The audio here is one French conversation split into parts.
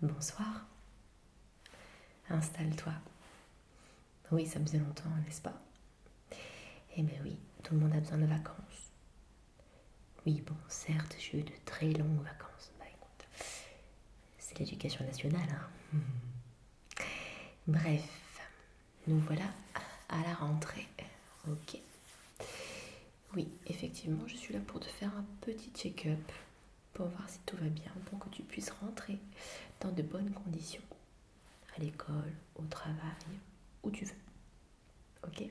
Bonsoir. Installe-toi. Oui, ça faisait longtemps, n'est-ce pas Eh bien oui, tout le monde a besoin de vacances. Oui, bon, certes, j'ai eu de très longues vacances. Bah écoute, c'est l'éducation nationale. Hein. Bref, nous voilà à la rentrée. Ok. Oui, effectivement, je suis là pour te faire un petit check-up pour voir si tout va bien, pour que tu puisses rentrer dans de bonnes conditions à l'école, au travail, où tu veux. Ok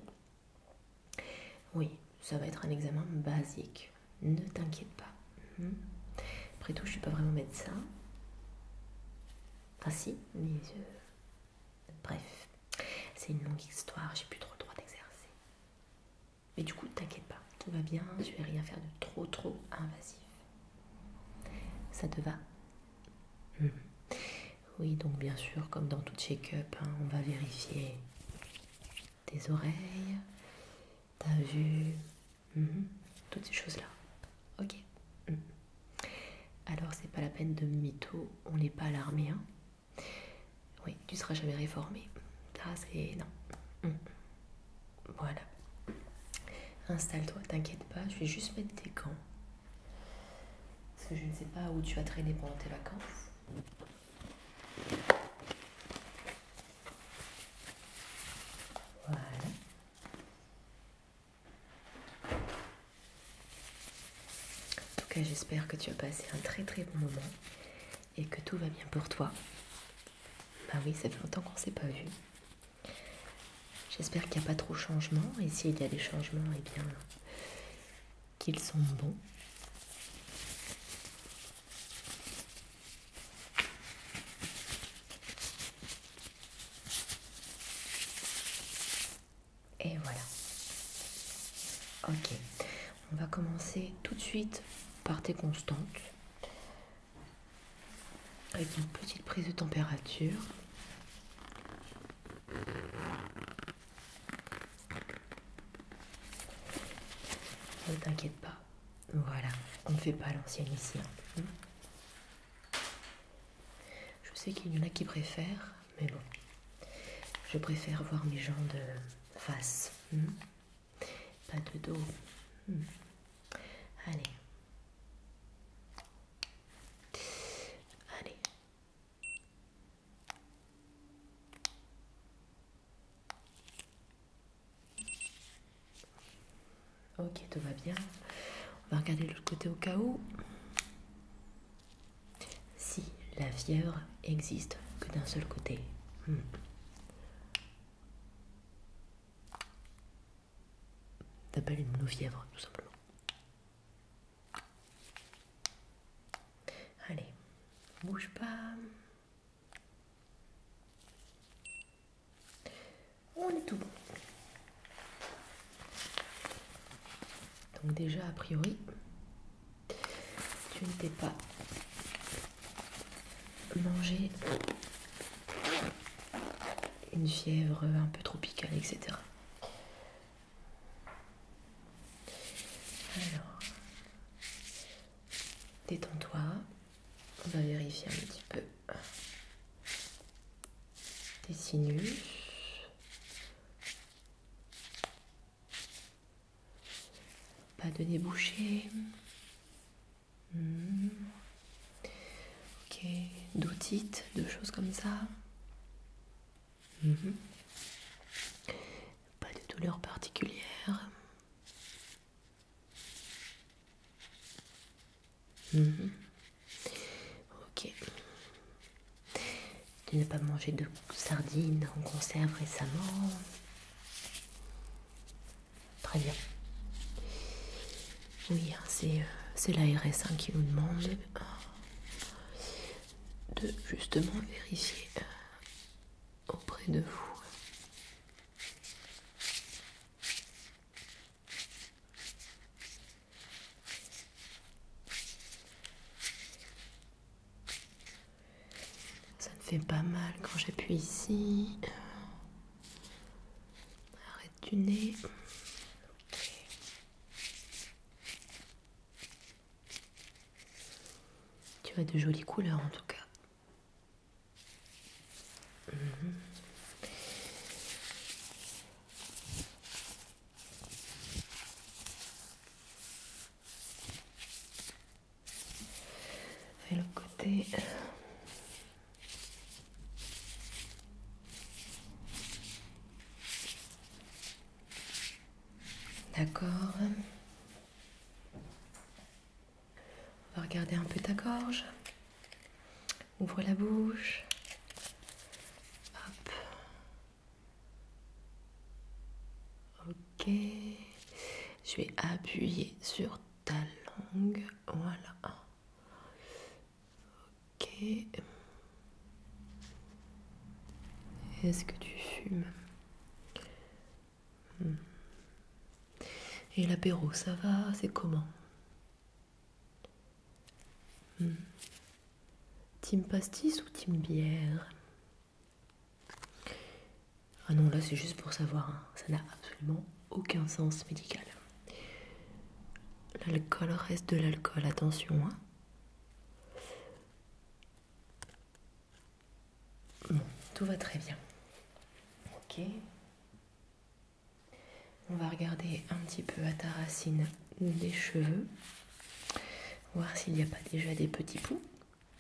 oui, ça va être un examen basique. Ne t'inquiète pas. Mhm. Après tout, je ne suis pas vraiment médecin. Ah si, mais... Bref, c'est une longue histoire, j'ai plus trop le droit d'exercer. Mais du coup, ne t'inquiète pas, tout va bien, je vais rien faire de trop trop invasif. Ça te va mhm. Oui, donc bien sûr, comme dans tout check-up, hein, on va vérifier tes oreilles, ta vue, mhm, toutes ces choses-là. Ok mhm. Alors, c'est pas la peine de mytho, on n'est pas à l'armée. Hein oui, tu ne seras jamais réformé. Ça, c'est. Non. Mhm. Voilà. Installe-toi, t'inquiète pas, je vais juste mettre tes gants. Parce que je ne sais pas où tu as traîné pendant tes vacances. Voilà. En tout cas, j'espère que tu as passé un très très bon moment et que tout va bien pour toi. Bah oui, ça fait longtemps qu'on ne s'est pas vu. J'espère qu'il n'y a pas trop de changements et s'il y a des changements, eh bien, qu'ils sont bons. Et voilà. Ok. On va commencer tout de suite par tes constantes. Avec une petite prise de température. Ne t'inquiète pas. Voilà, on ne fait pas l'ancienne ici. Hein. Je sais qu'il y en a qui préfèrent, mais bon. Je préfère voir mes gens de face. Hmm. Pas de dos. Hmm. Allez. Allez. Ok, tout va bien. On va regarder l'autre côté au cas où. Si la fièvre existe que d'un seul côté. On hmm. T'appelles une monofièvre, tout simplement. Allez, bouge pas. On est tout bon. Donc déjà, a priori, tu ne t'es pas mangé une fièvre un peu tropicale, etc. Alors, détends-toi. On va vérifier un petit peu tes sinus. Pas de débouché. Hmm. Ok, d'otites, de choses comme ça. Mhm. Pas de douleur particulière. Mhm. Ok. Tu n'as pas mangé de sardines en conserve récemment Très bien. Oui, hein, c'est euh, l'ARS 1 qui nous demande de justement vérifier euh, auprès de vous. Ça ne fait pas mal quand j'appuie ici. Arrête du nez. Tu as de jolies couleurs en tout cas. Et le côté... D'accord. On va regarder un peu ta gorge. Ouvre la bouche. Hop. Ok. Je vais appuyer sur ta langue. Voilà. Ok. Est-ce que tu fumes hmm. Et l'apéro, ça va C'est comment Tim hmm. Team pastis ou team bière Ah non, là c'est juste pour savoir, hein. ça n'a absolument aucun sens médical. L'alcool reste de l'alcool, attention. Hein. Bon, tout va très bien. Ok. On va regarder un petit peu à ta racine des cheveux, voir s'il n'y a pas déjà des petits poux.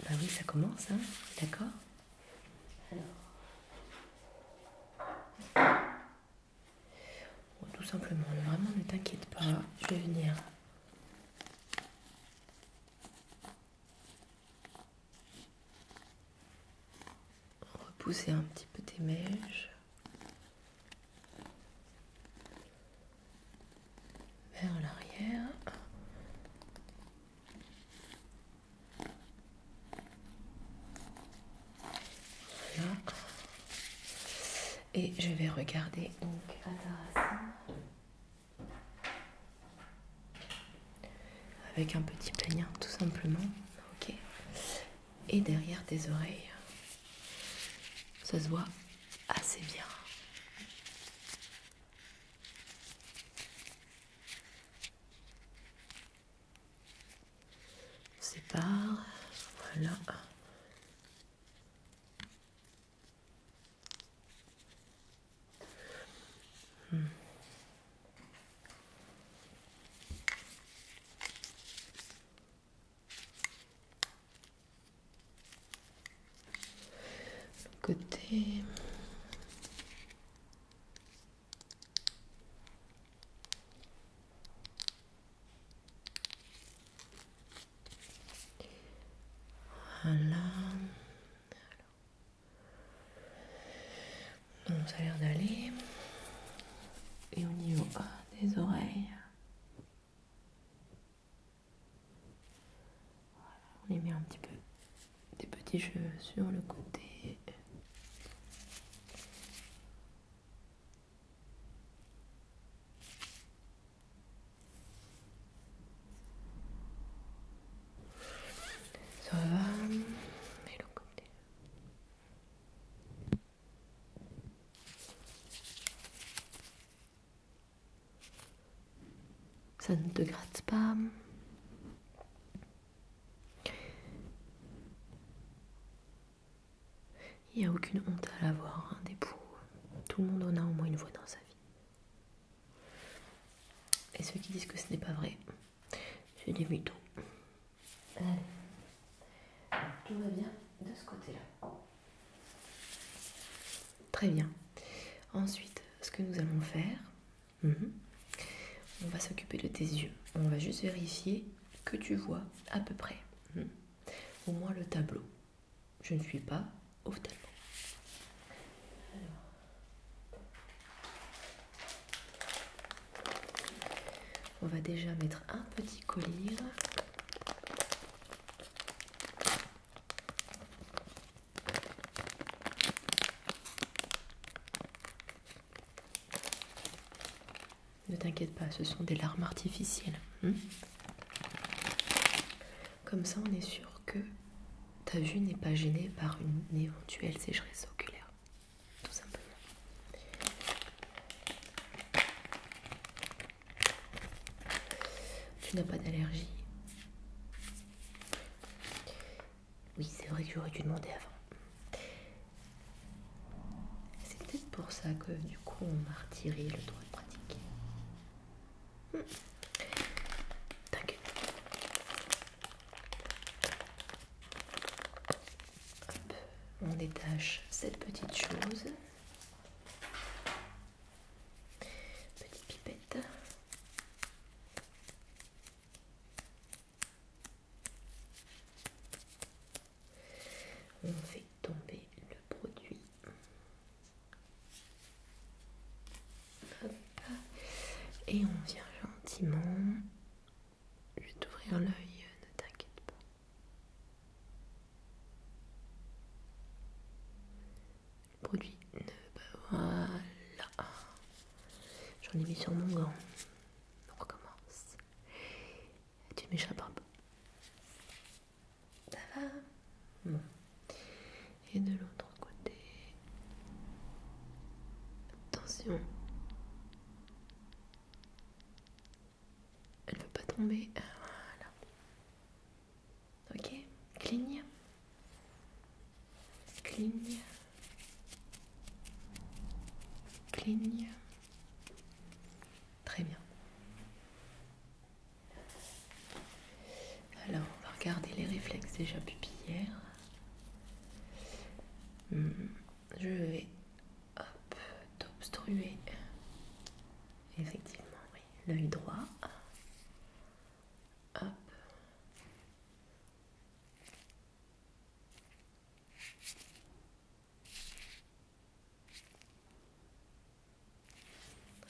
Ben oui, ça commence, hein d'accord Alors tout simplement, vraiment ne t'inquiète pas, je vais venir. Repousser un petit peu tes mèches. Vers l'arrière. Et je vais regarder donc à Avec un petit plaignant tout simplement. Ok. Et derrière tes oreilles. Ça se voit assez bien. On sépare. Voilà. Hmm. côté voilà. ça a l'air d'aller. Et au niveau des oreilles. on y met un petit peu des petits cheveux sur le côté. Ça va, mais le côté. Ça ne te gratte pas. Il n'y a aucune honte à l'avoir, un dépôt. Tout le monde en a au moins une voix dans sa vie. Et ceux qui disent que ce n'est pas vrai, c'est des mythos. Allez. Tout va bien de ce côté-là. Très bien. Ensuite, ce que nous allons faire, mhm, on va s'occuper de tes yeux. On va juste vérifier que tu vois à peu près. Mhm. Au moins le tableau. Je ne suis pas au tableau. On va déjà mettre un petit collier. Ne t'inquiète pas, ce sont des larmes artificielles. Hein. Comme ça, on est sûr que ta vue n'est pas gênée par une éventuelle sécheresse oculaire. Tout simplement. Tu n'as pas d'allergie Oui, c'est vrai que j'aurais dû demander avant. C'est peut-être pour ça que du coup on m'a retiré le droit de pratiquer. Hmm. On détache cette petite chose. Petite pipette. On fait tomber le produit. Et on vient gentiment. Je vais t'ouvrir l'œil, ne t'inquiète pas. Le produit ne. pas Voilà. J'en ai mis sur mon gant. On recommence. Tu m'échappes Ça va Et de l'autre côté. Attention. Elle ne veut pas tomber. Voilà. Ok Cligne. Cligne. Pligne, Très bien. Alors, on va regarder les réflexes déjà pupillaires. Hmm, je vais hop t'obstruer. Effectivement, oui. L'œil droit. Hop.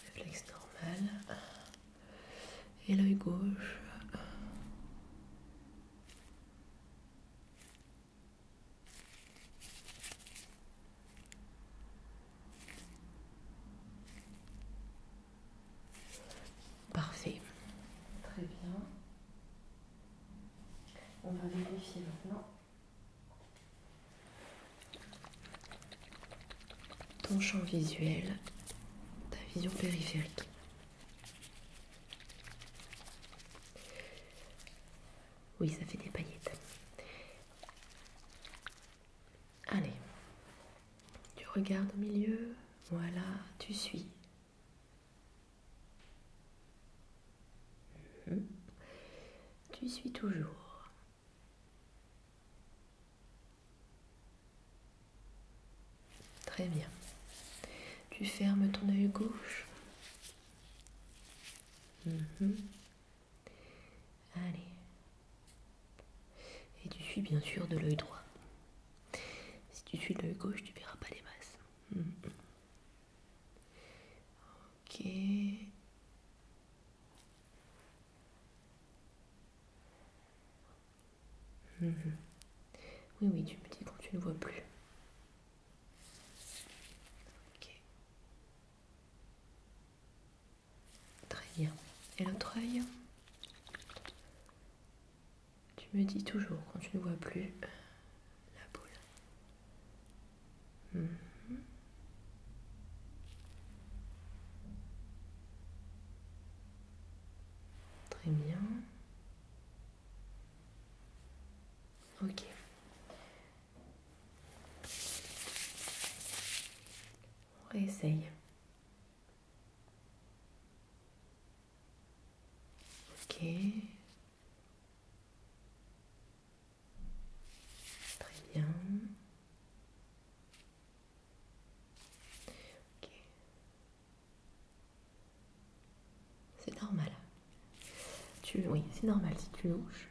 Réflexe normal. Et l'œil gauche. Parfait. Très bien. On va vérifier maintenant. Ton champ visuel, ta vision périphérique. Oui, ça fait des paillettes. Allez, tu regardes au milieu, voilà, tu suis, tu suis toujours. Très bien. Tu fermes ton œil gauche. Mhm. Allez. Et tu suis bien sûr de l'œil droit. Si tu suis l'œil gauche, tu verras pas les masses. Mm, mm. Ok. Mm, oui, oui, tu me dis quand tu ne vois plus. Ok. Très bien. Et l'autre œil tu me dis toujours quand tu ne vois plus euh, la boule. Mhm. Très bien. Ok. On réessaye. Ok. Très bien. Ok. C'est normal. Tu, oui, c'est normal si tu louches.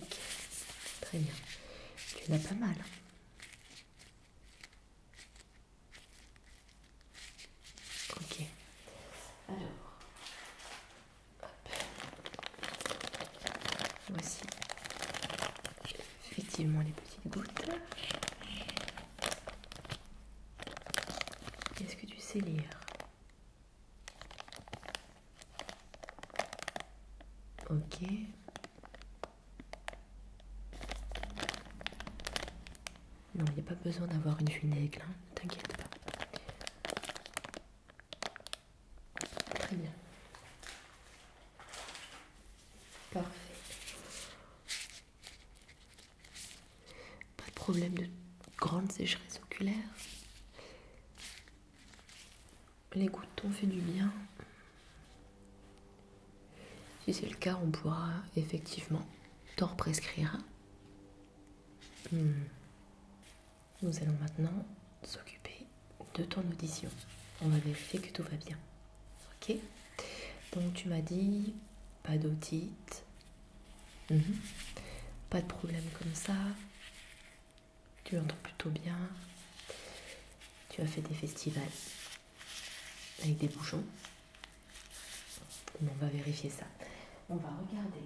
Ok. Très bien. Tu n'as pas mal. Hein. Ok. Alors. Hop. Voici effectivement les petites gouttes. Est-ce que tu sais lire Ok. Non, il n'y a pas besoin d'avoir une funègle, hein, ne t'inquiète pas. Très bien. Parfait. Pas de problème de grande sécheresse oculaire. Les gouttes ont fait du bien. Si c'est le cas, on pourra effectivement t'en prescrire. Hmm. Nous allons maintenant s'occuper de ton audition. On va vérifier que tout va bien. Ok Donc tu m'as dit pas d'otite, mhm. pas de problème comme ça, tu entends plutôt bien, tu as fait des festivals, avec des bouchons. on va vérifier ça. On va regarder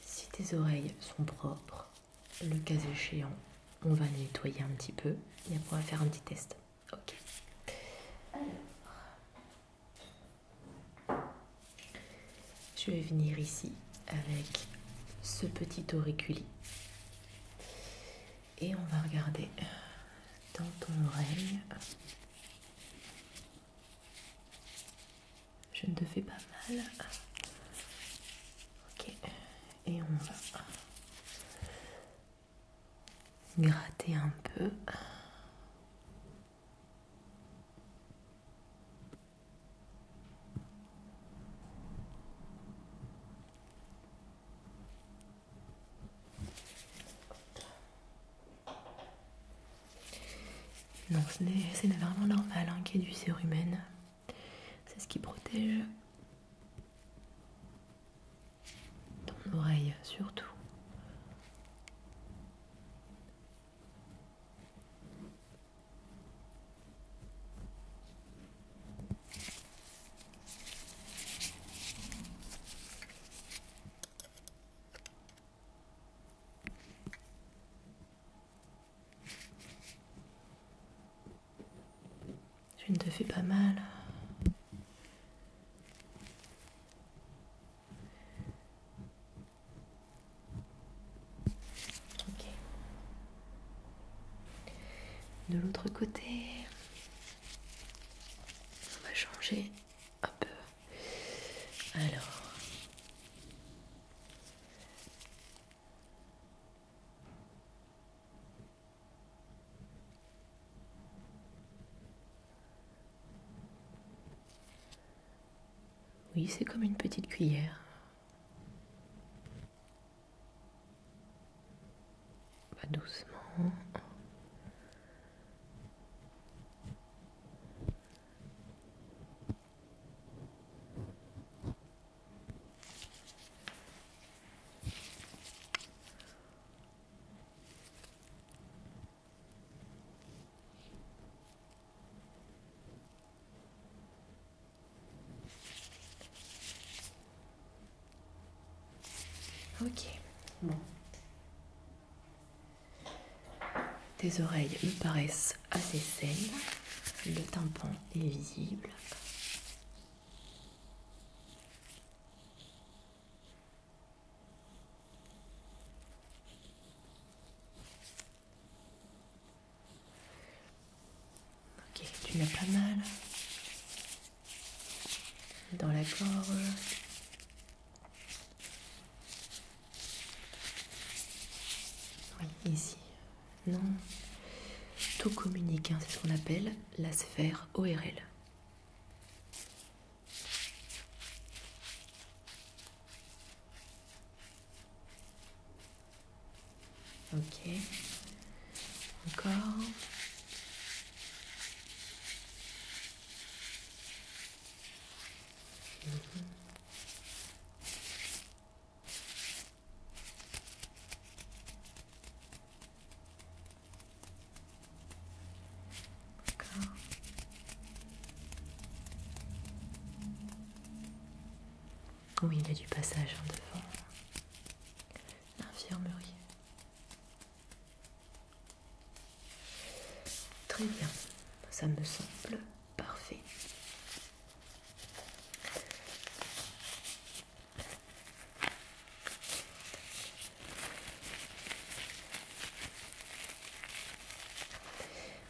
si tes oreilles sont propres. Le cas échéant, on va nettoyer un petit peu et après on va faire un petit test. Ok. Alors, je vais venir ici avec ce petit auriculi et on va regarder dans ton oreille. Je ne te fais pas mal. Ok. Et on va gratter un peu. Non, c'est vraiment normal hein, qu'il y ait du humaine. C'est ce qui protège ton oreille surtout. Je ne te fais pas mal. De l'autre côté, on va changer un peu. Alors. Oui, c'est comme une petite cuillère va doucement. Ok, bon. Tes oreilles me paraissent assez saines. Le tympan est visible. Ok, tu n'as pas mal dans la gorge. Oui, ici. Non. Tout communique, hein, c'est ce qu'on appelle la sphère ORL. Ok. Encore. Oui, il y a du passage en hein, devant. L'infirmerie. Très bien, ça me semble parfait.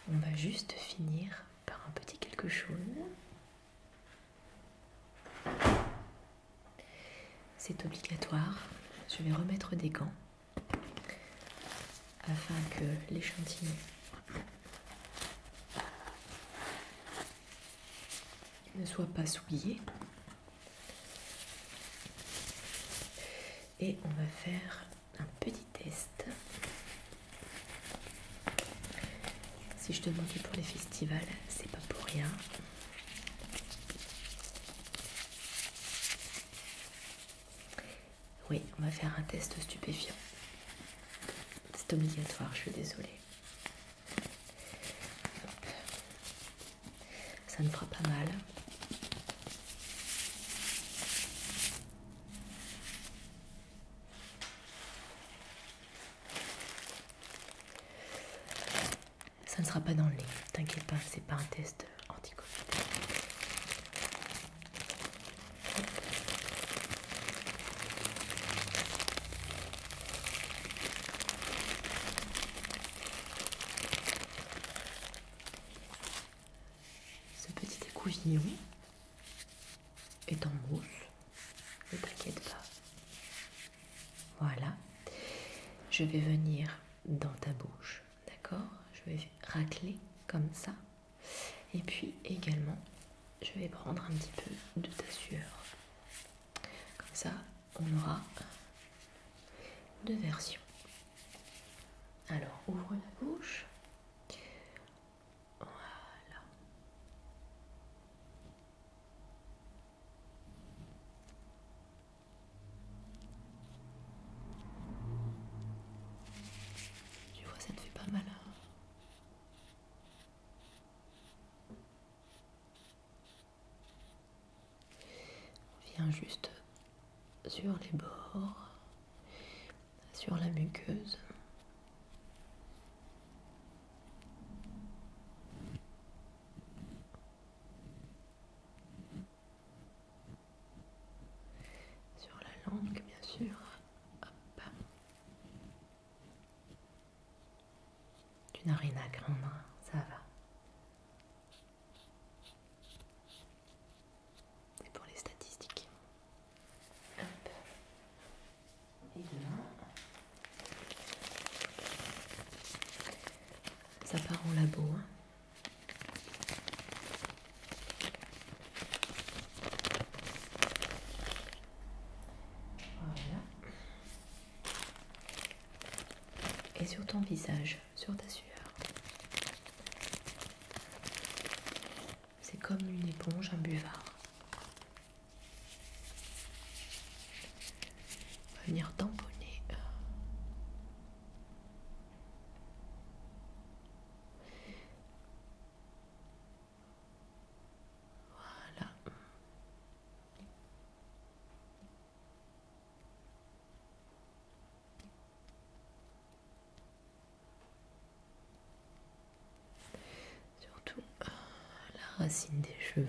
On va juste finir par un petit quelque chose. C'est obligatoire. Je vais remettre des gants afin que l'échantillon ne soit pas souillé. Et on va faire un petit test. Si je te demandais pour les festivals, c'est pas pour rien. Oui, on va faire un test stupéfiant. C'est obligatoire, je suis désolée. Ça ne fera pas mal. Ça ne sera pas dans le nez, t'inquiète pas, c'est pas un test anti Ce petit écouvillon est en mousse, ne t'inquiète pas. Voilà, je vais venir dans ta bouche, d'accord Je vais racler comme ça. Et puis également, je vais prendre un petit peu de ta sueur. Comme ça, on aura deux versions. Alors, ouvre la bouche. Voilà. Tu vois, ça ne fait pas mal. Hein. on vient juste sur les bords, sur la muqueuse. Sur la langue, bien sûr. Hop. Tu n'as rien à craindre, hein. ça va. C'est pour les statistiques. Hop. Et là, Ça part en labo. Hein. Voilà. Et sur ton visage, sur ta sueur. C'est comme une éponge, un buvard. On va venir tamponner. Euh. Voilà. Surtout euh, la racine des cheveux.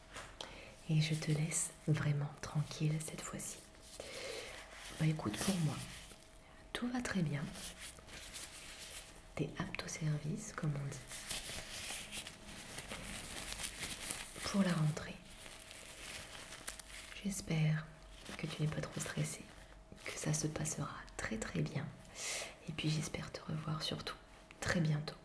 Et je te laisse vraiment tranquille cette fois-ci. Bah écoute, pour moi, tout va très bien. T'es apte au service, comme on dit. Pour la rentrée, j'espère que tu n'es pas trop stressé, que ça se passera très très bien. Et puis j'espère te revoir surtout très bientôt